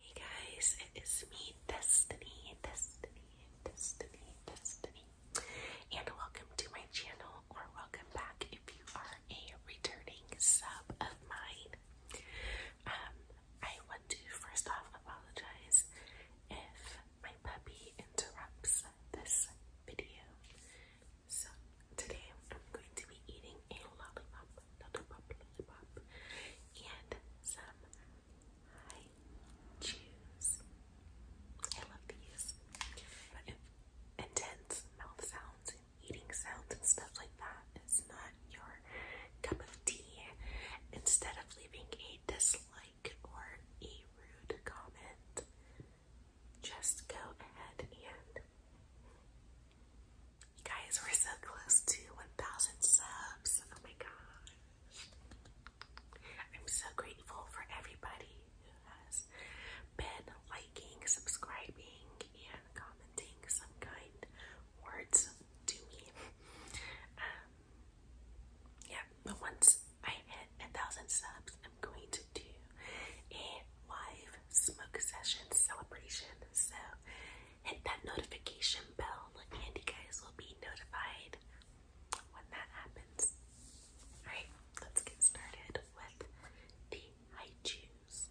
Hey guys, it is me, Destiny, Destiny, Destiny, Destiny, and welcome to my channel, or welcome back if you are a returning sub of mine. Um, I want to first off apologize if my puppy interrupts this video. So today I'm going to be eating pudding and lollipop, lollipop, lollipop, and some high I love these. But intense mouth sounds and eating sounds and stuff like that is not your cup of tea. Instead of leaving a dislike or a rude comment, just go ahead and you guys, we're so close to 1,000 subs. Oh my god, I'm so grateful for everybody who has been liking, subscribing, and commenting some kind words to me. Um, yeah, but once I hit a thousand subs, I'm going to do a live smoke session celebration. So hit that notification bell and you guys will be notified when that happens. Alright, let's get started with the haikus.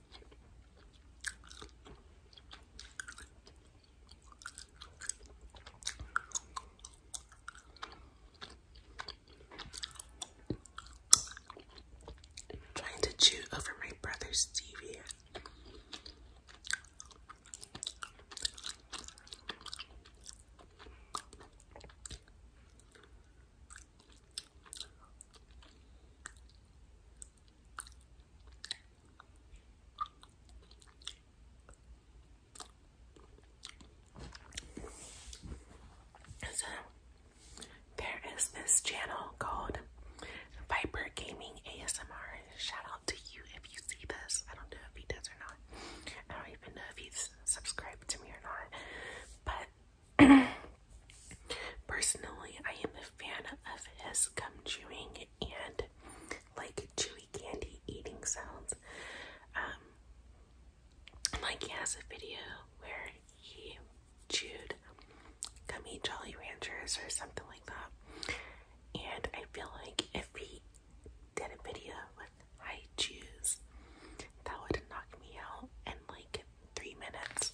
I'm trying to chew over my brother's TV. So there is this channel called Viper Gaming ASMR. Shout out to you if you see this. I don't know if he does or not. I don't even know if he's subscribed to me or not. But Personally, I am a fan of his gum chewing and like chewy candy eating sounds. Um, like he has a video where he chewed gummy Jolly Ranchers or something like that, and I feel like if he did a video with high chews, that would knock me out in like three minutes.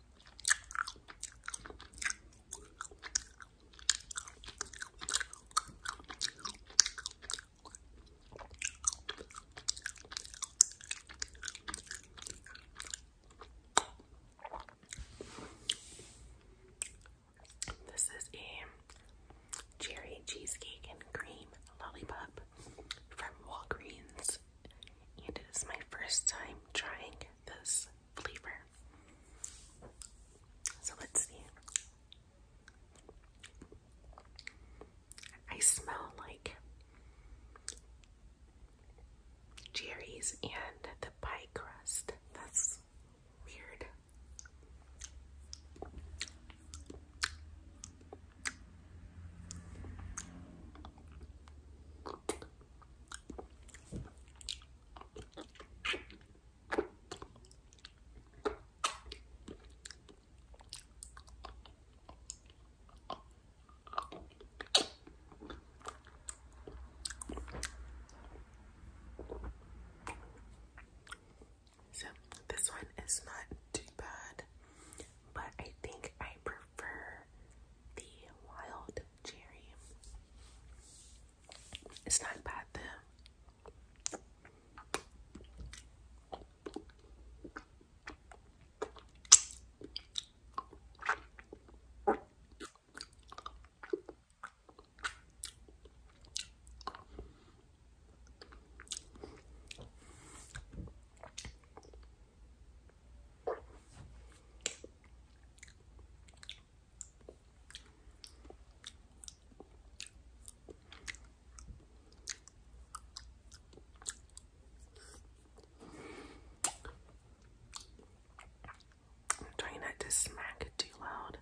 This is a cherry cheesecake and cream lollipop from Walgreens and it is my first time trying this flavor. So let's see. I smell like cherries and the pie crust. That's weird. So this one is not too bad, but I think I prefer the wild cherry. It's not bad though. I'm trying not to smack it too loud.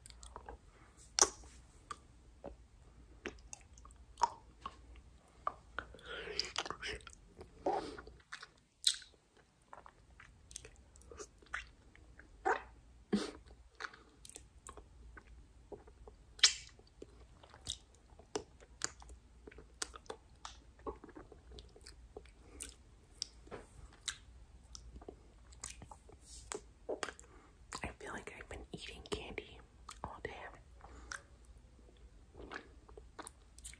I feel like I've been eating candy all day.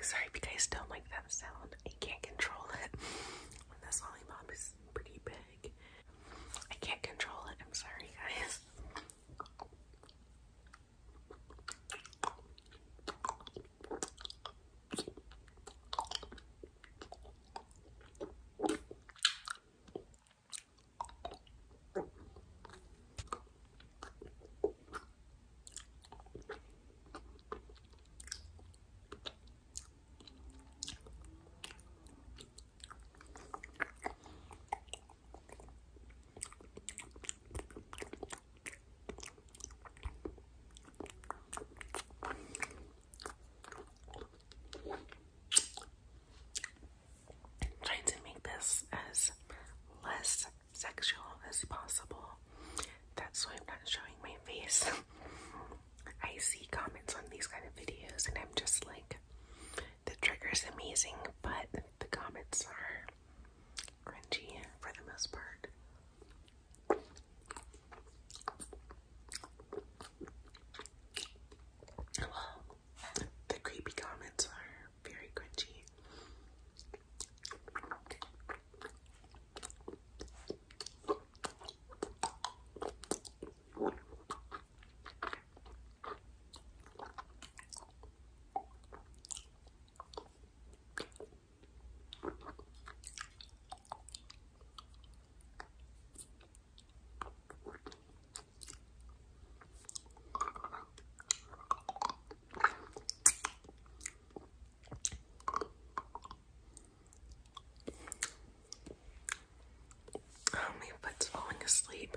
Sorry if you guys don't like that sound. I can't control it. When this lollipop is pretty big. I can't control it. I'm sorry guys. Trying to make this as less sexual as possible. That's why I'm not showing my face. I see comments on these kind of videos, and I'm just like, the trigger is amazing, but the comments are cringy for the most part. the creepy comments are very crunchy. Oh, my foot's falling asleep.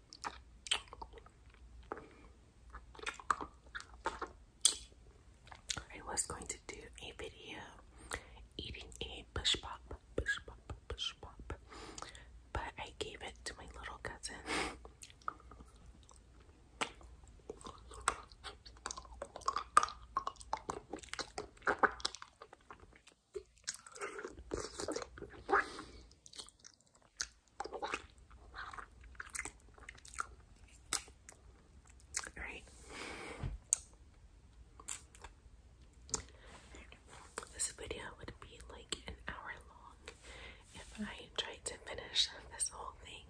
I was going to do a video eating a push pop, push pop, push pop, but I gave it to my little cousin. Alright. This video would be like an hour long if I tried to finish this whole thing.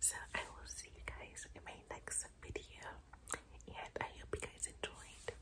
So I will see you guys in my next video and I hope you guys enjoyed.